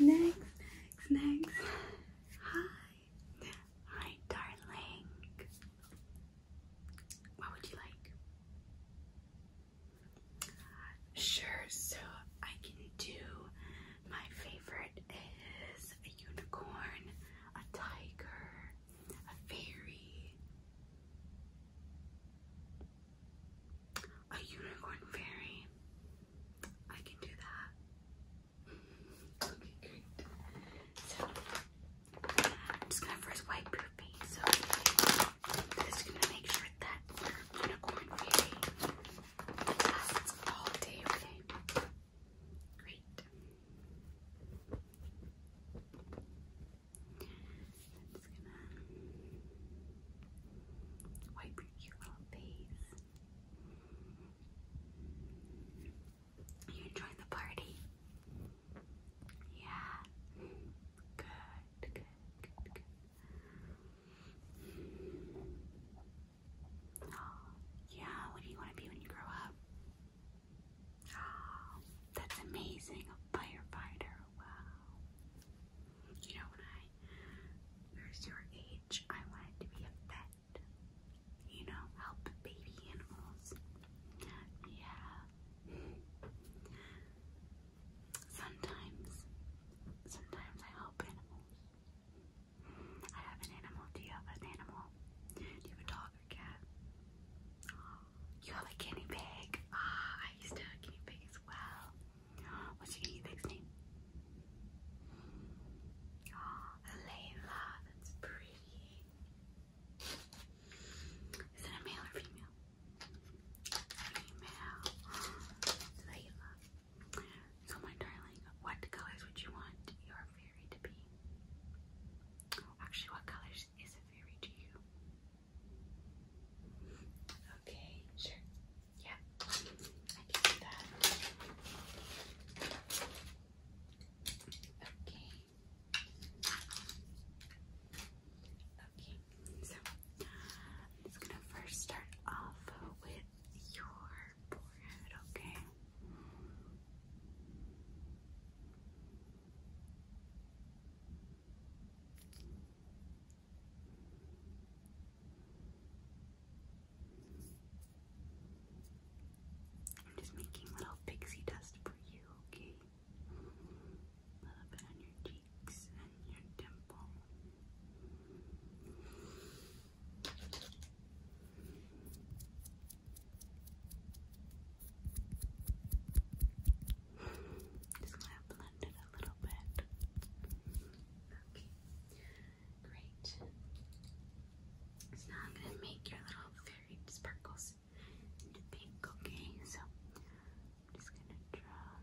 Next, next, next. Hi. Hi, darling. What would you like? Sure, so I can do my favorite is a unicorn, a tiger, a fairy, a unicorn fairy. I can do that. okay, great. So I'm just gonna first wipe your face. So I'm gonna make sure that your unicorn fairy lasts all day. Okay. Great. It's gonna wipe your cute little face. You enjoying the party? Yeah. Good, good, good, good. Yeah, what do you want to be when you grow up? that's amazing, a firefighter. Wow. You know, when I was your age, I wanted to be a vet. You know, help baby animals. Yeah. Sometimes, sometimes I help animals. I have an animal. Do you have an animal? Do you have a dog or cat? You have a guinea pig. Ah, I used to have a guinea pig as well. What's your guinea pig's name? Oh, Layla. That's pretty. Is it a male or female? Female. Layla. So, my darling, what colors would you want your fairy to be? Actually, what colors is a fairy to you? Okay, sure. Yeah, I can do that. Okay. Okay, so I'm gonna first start off with your forehead, okay? I'm just making little pixie dust for you, okay? A little bit on your cheeks and your dimple. Just gonna blend it a little bit. Okay, great. So now I'm gonna make your little fairy sparkles pink. Okay, so I'm just gonna draw.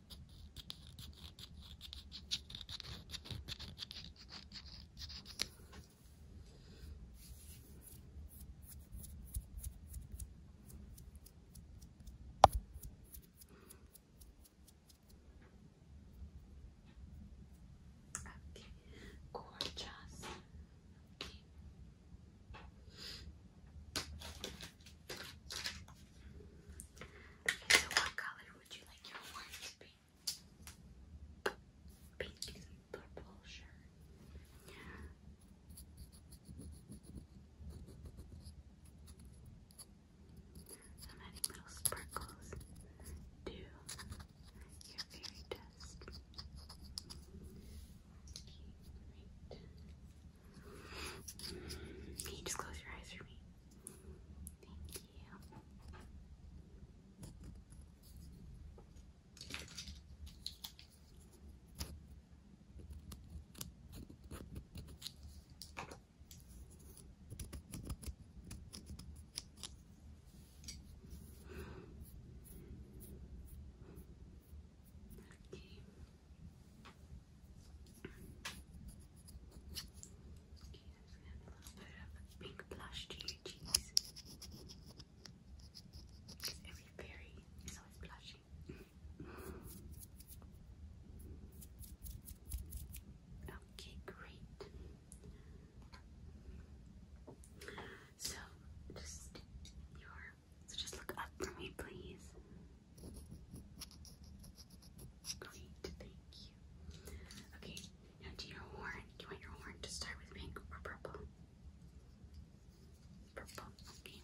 Okay, gorgeous. Okay. Okay, so what color would you like your wine to be? Pink purple, sure. adding little sparkles to your fairy dust. Okay, can you just close your eyes for me? Thank you. Okay a pink blush to your cheeks. every berry is always blushing. okay, great. So just your so just look up for me, please. Great, thank you. Okay, now do your horn. Do you want your horn to start with pink or purple? Purple, okay.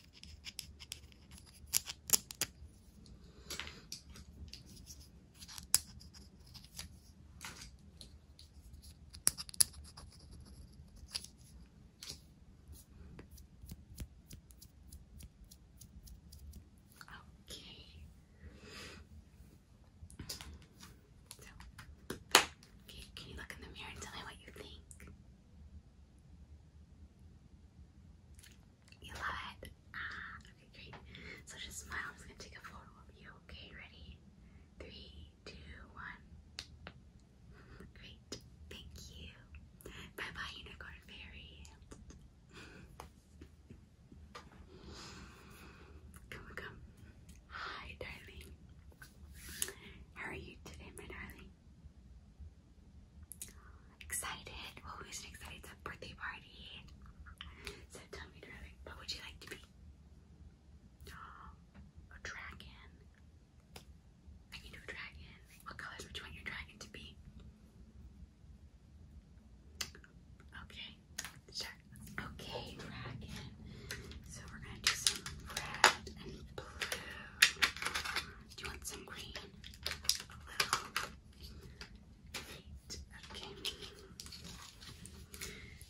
Okay. So, okay, can you look in the mirror and tell me what you think? You love it? Ah, okay, great. So just smile. I'm just gonna take a photo of you. Okay, ready? Three, two, one. Great. Thank you. Bye bye, Unicorn Fairy. Come, come. Hi, darling. How are you today, my darling? Excited? Well, who's excited? It's a birthday party. So tell me, darling, what would you like to be? A dragon. I can do a dragon. What colors would you want your dragon to be? Okay, Okay, dragon. So we're gonna do some do you want some green? Okay.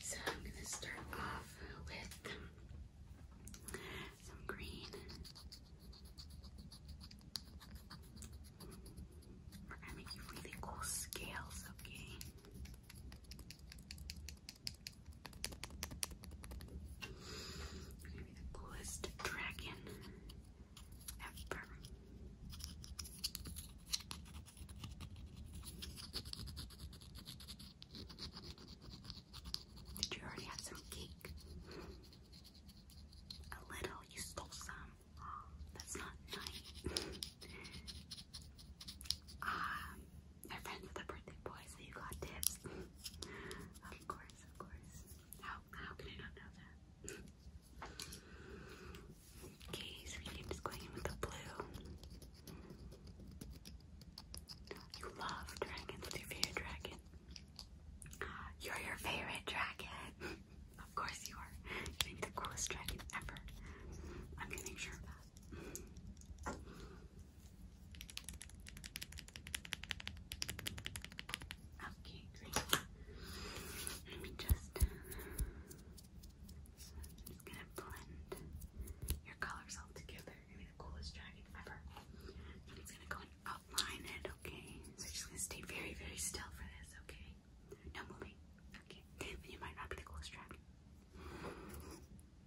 So I'm going to start off with some green. We're going to make really cool scales, Okay gonna be the coolest dragon ever. Did you already have some cake? A little, you stole some. that's not nice. um, They're friends with the birthday boy, so you got tips. of course, of course. How how can I not know that? okay, so I'm just going in with the blue. You love dragons. your favorite dragon? You're your favorite dragon. of course you are. You think the coolest dragon ever. I'm going sure of that. Okay, Let me just. just gonna blend your colors all together. you gonna be the coolest dragon ever. i gonna go and outline it, okay? So you're just gonna stay very, very still for this, okay? No moving. Okay. you might not the coolest dragon.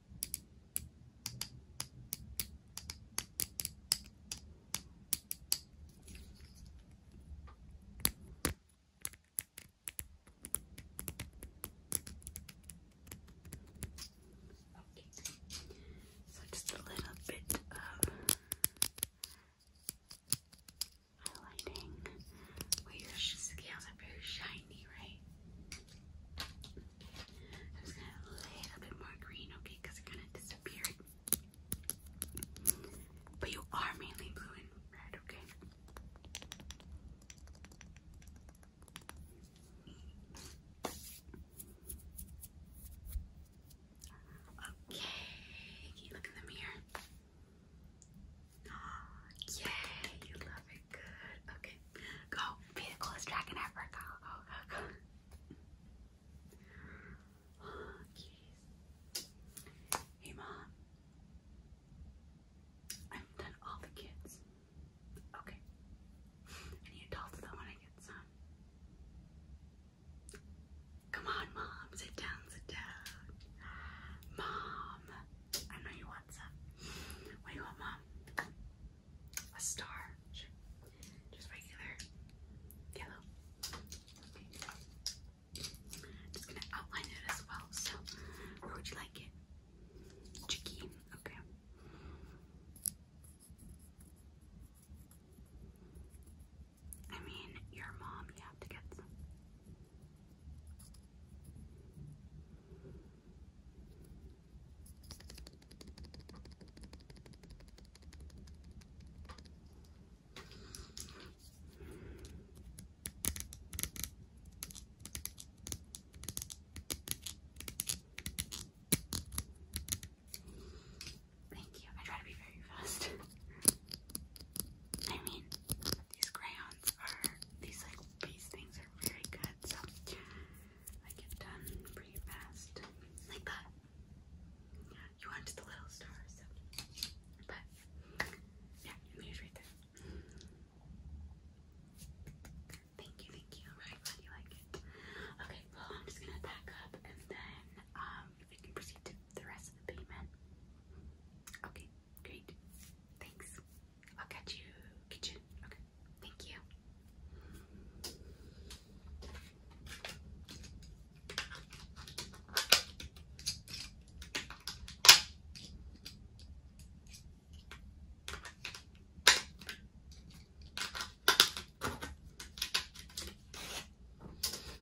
Okay. So just a little bit of highlighting. Wait, your scales are very shiny, right? just a little bit more green, okay, because it kind of But you are mainly blue and red, okay? Okay, look in the mirror? Yay, you love it. Good. Okay. Go. Be the coolest dragon Hey, Mom. I've done all the kids. Okay. I adults though when I get some. Come on, Mom. Sit down, sit down. Mom. I know you want some. What do you want, Mom? A star? Sure. Just regular yellow. Okay. Just gonna outline it as well. So, where would you like it? Cheeky. Okay. I mean, your mom, you have to get some. Thank you. I try to be very fast. I mean, these crayons are, these like these things are very good, so I get done pretty fast. Like that. You wanted the little stars, so. But, yeah, I'm gonna right Thank you, thank you. I'm really glad you like it. Okay, well, I'm just gonna back up and then um, proceed to the rest of the payment. Okay, great. Thanks. I'll catch you kitchen. Okay. Thank you.